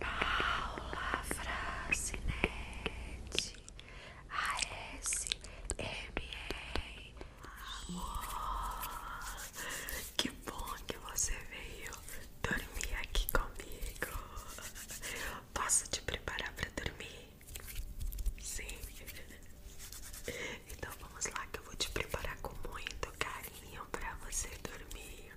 Paula Francinete E. Amor Que bom que você veio dormir aqui comigo Posso te preparar para dormir? Sim Então vamos lá que eu vou te preparar com muito carinho para você dormir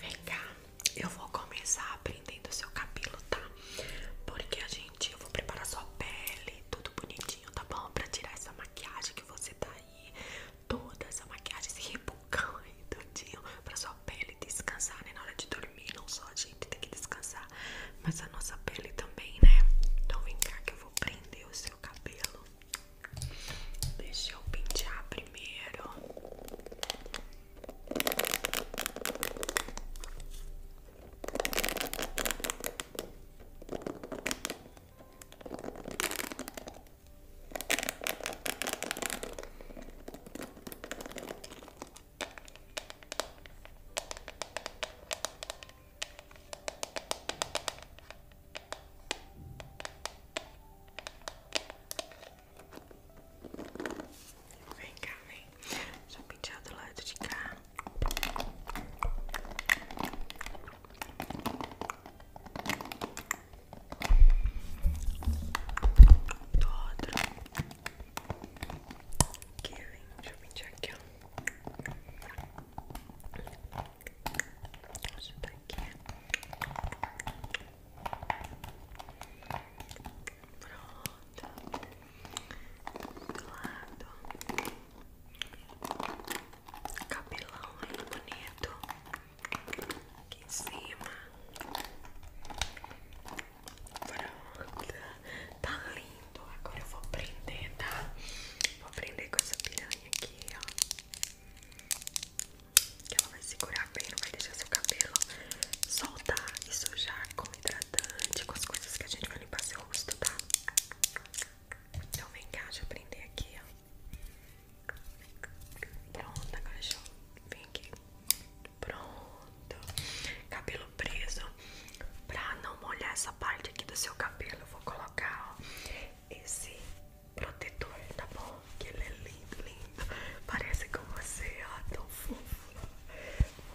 Vem cá, eu vou começar aprendendo o seu cabelo, tá? Porque a gente, eu vou preparar sua pele, tudo bonitinho, tá bom? Pra tirar essa maquiagem que você tá aí, toda essa maquiagem, esse rebucão aí, tudinho, pra sua pele descansar, né? Na hora de dormir, não só a gente tem que descansar, mas a nossa pele também, né? Então vem cá que vou prender o seu cabelo. Deixe eu pintar primeiro. Vem cá, vem. Só pintar do lado de cá. Do outro. Aqui, vem. Deixa eu aqui, Deixa aqui. Pronto. Do lado. Cabelão bonito. Aqui em cima. Pronto. Tá lindo. Agora eu vou prender, tá? Vou prender com essa piranha aqui, ó. Que ela vai segurar bem, não vai deixar seu cabelo soltar e sujar com hidratante, com as coisas que a gente vai limpar seu rosto, tá? Então vem cá, deixa eu prender aqui, ó. Pronto, agora deixa eu vir aqui. Pronto. Cabelo preso pra não molhar parte aqui do seu cabelo eu vou colocar esse protetor, tá bom? Que ele é lindo, lindo. Parece com você, ó, tão fofo.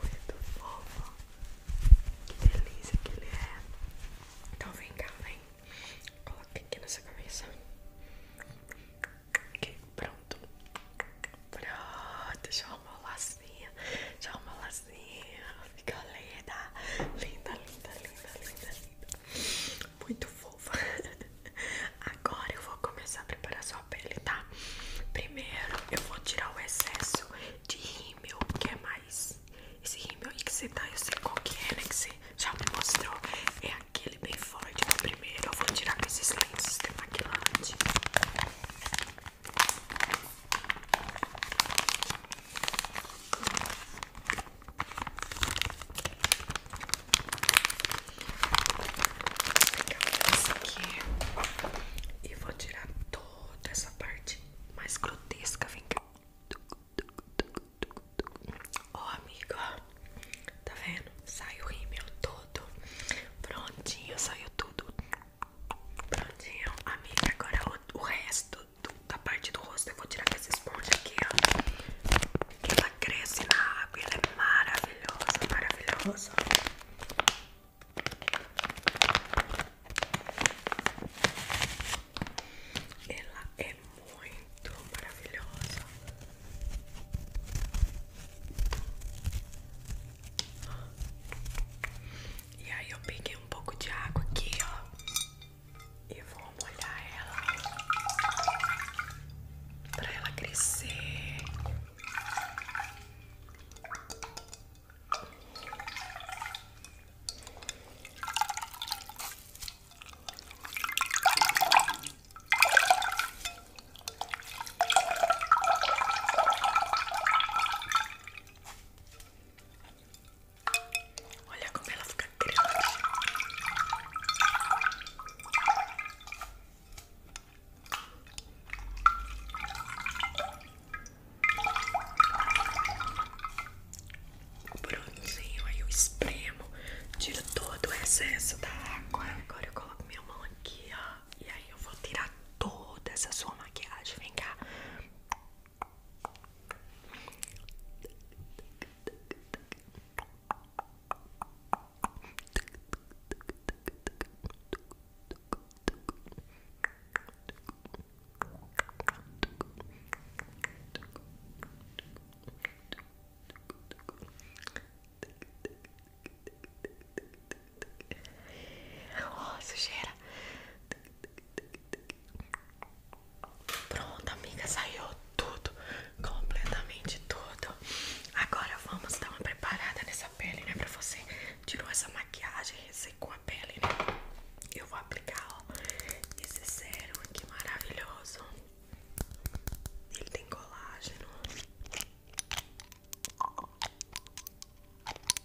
Muito fofo. Que delícia que ele é. Então vem cá, vem. Coloca aqui nessa cabeça. Aqui, pronto. Pronto, já arrumou lacinha. Já arrumou lacinha assim, fica linda, linda, linda, linda, linda, linda, muito fofa. Agora eu vou começar a preparar sua pele, tá? Primeiro eu vou tirar o excesso de rímel, que é mais esse rímel aí que você tá, eu sei qual que é, né? Que você já me mostrou, é aquele bem forte. Primeiro eu vou tirar com esses lentes de maquilante. Essa aqui e vou tirar toda essa parte mais grotesca. Vem ó, oh, amigo, tá vendo? Saiu o rímel todo prontinho, saiu tudo. Prontinho, amiga. Agora o, resto da parte do rosto eu vou tirar com essa esponja aqui, ó. Que ela cresce na água, ela é maravilhosa, maravilhosa. Ela é muito maravilhosa. E aí eu peguei um pouco de água aqui, ó. E vou molhar ela pra ela crescer. Olha como ela fica grande. O aí eu espremo, tiro todo o excesso da água. Agora eu coloco minha mão aqui, ó. E aí eu vou tirar toda essa sua maquiagem. Vem Ó sujeira. Pronto, amiga, saiu tudo, completamente tudo. Agora vamos dar uma preparada nessa pele, né? Pra você tirar essa maquiagem, ressecou a pele, né? Eu vou aplicar, ó, esse sérum aqui maravilhoso. Ele tem colágeno.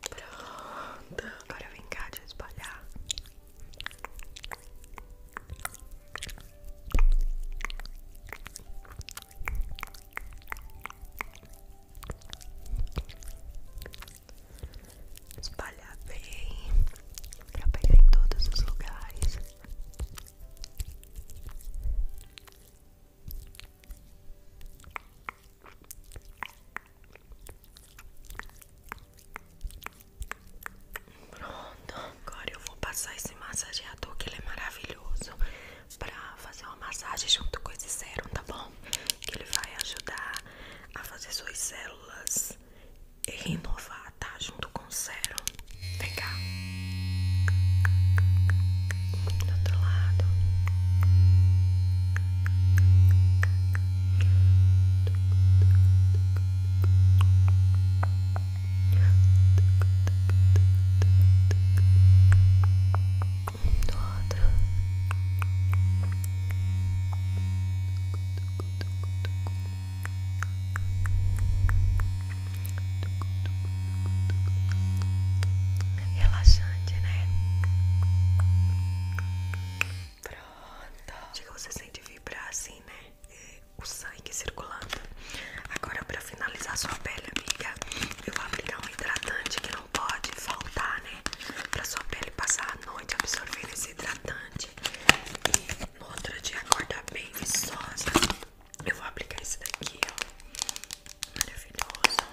Pronto, agora vem cá de espalhar. Espalhar bem para pegar em todos os lugares. Pronto, agora eu vou passar esse massageador que ele é maravilhoso Pra fazer uma massagem junto com esse sérum, tá bom? Que ele vai ajudar a fazer suas células renovar, tá? Junto com o sérum Vem cá Do outro lado do outro. Relaxante, né? Pronto. Chega, você sente vibrar assim, né? É, o sangue circulando. Agora, pra finalizar sua pele, amiga, eu vou aplicar um hidratante que não pode faltar, né? Pra sua pele passar a noite absorvendo esse hidratante. E no outro dia acordar bem viçosa. Eu vou aplicar esse daqui, ó. Maravilhoso.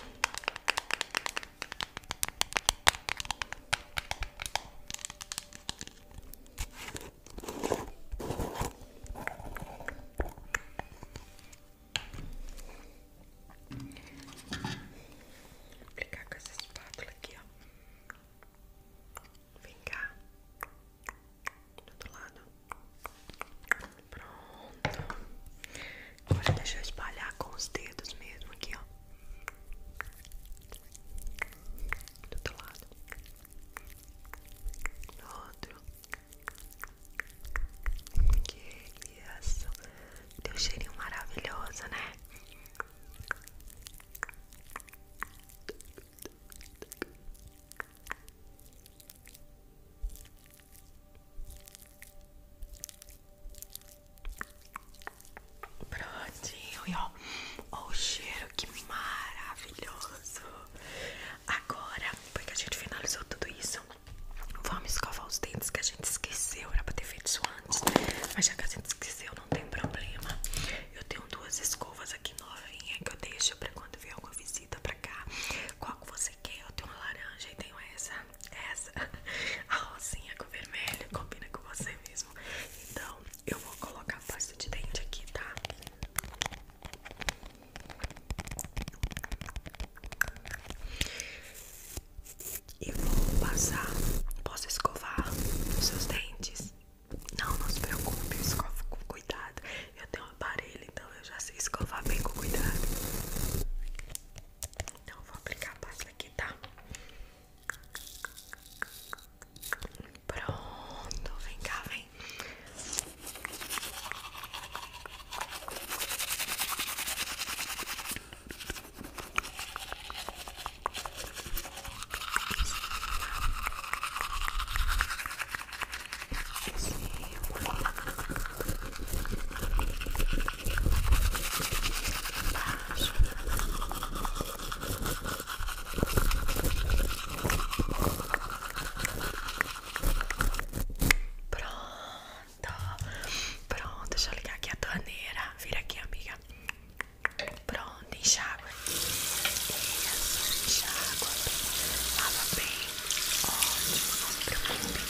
Vou aplicar com essa espátula aqui, ó. Vem cá. Do outro lado. Pronto. Agora deixar espalhar com os dedos mesmo aqui, ó. Do outro lado. Do outro. Que isso. Deu cheirinho maravilhoso, né? Prontinho, e ó, o cheiro, que maravilhoso. Agora, depois que a gente finalizou tudo isso, vamos escovar os dentes que a gente esqueceu, era pra ter feito isso antes, mas já que a gente esqueceu, não tem problema. Eu tenho duas escovas aqui novinha que eu deixo pra quando vier alguma visita pra cá. Qual que você quer? Eu tenho uma laranja e tenho essa essa a rosinha com vermelho combina com você mesmo. Então, eu vou colocar a pasta de dente aqui, tá? E vou passar. Posso escovar os seus dentes? Não, não se preocupe, eu escovo com cuidado. Eu tenho um aparelho, então eu já sei escovar bem com cuidado. Então vou aplicar a pasta aqui, tá? Pronto, vem cá, vem. Pronto, pronto, deixa eu ligar aqui a torneira. Vira aqui, amiga. Pronto, enxágua. Isso, enxágua. Lava bem. Ótimo, não se preocupe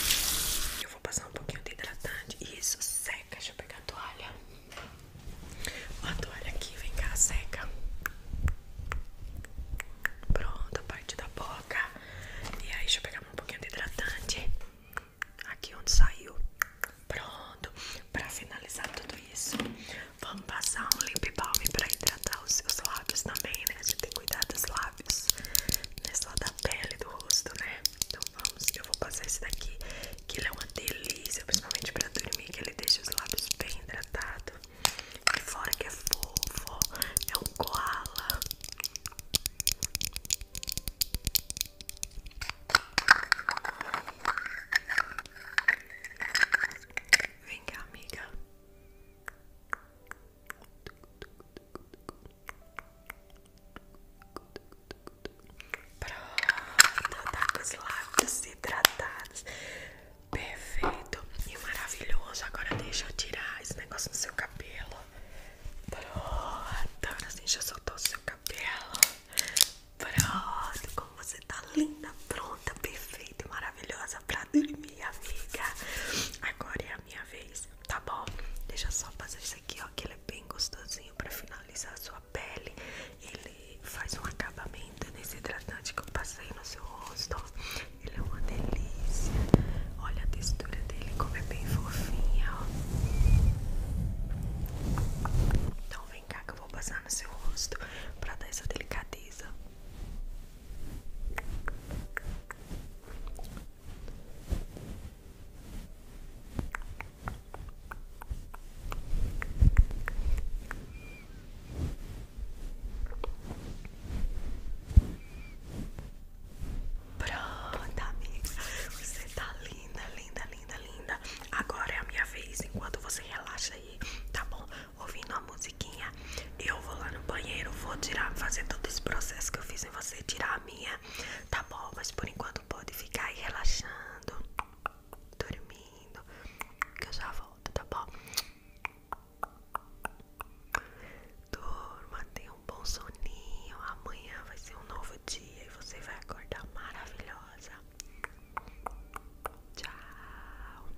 vou passar um pouquinho de hidratante. Isso, seca. Deixa eu pegar a toalha. A toalha aqui, vem cá, seca. Pronto, a parte da boca. E aí, deixa eu pegar um pouquinho de hidratante. Aqui onde saiu. Pronto. Pra finalizar tudo isso, vamos passar um lip balm pra hidratar os seus lábios também, né? A gente tem que cuidar dos lábios não é só da pele do rosto, né? Então vamos, eu vou passar esse daqui, que ele é uma delícia, principalmente pra dormir, que ele deixa os lábios bem hidratados. E fora que é fofo, é um koala. Vem cá, amiga. Pronto, tá com os lábios hidratados. Perfeito e maravilhoso. Agora deixa eu tirar esse negócio do seu cabelo. Pronto, agora sim já soltou o seu cabelo. Pronto, como você tá linda, pronta, perfeita e maravilhosa pra dormir, amiga. Agora é minha vez, tá bom? Deixa só fazer isso aqui, ó, que ele é bem gostosinho pra finalizar a sua pele. Ele faz um acabamento nesse hidratante que eu passei no seu rosto, Ele é uma delícia. Olha a textura dele, como é bem fofinha, ó. Então vem cá que eu vou passar no seu rosto pra dar essa delicadeza. Pronto, amiga. Você tá linda, linda, linda, linda. Agora é a minha vez. Enquanto você relaxa aí, tá bom? Ouvindo a musiquinha, eu vou lá no banheiro, vou tirar, fazer todo esse processo que eu fiz em você, tirar a minha Tá bom, mas por enquanto pode ficar aí relaxando, dormindo, que eu já volto, tá bom? dorma tenha um bom soninho. Amanhã vai ser um novo dia e você vai acordar maravilhosa. Tchau.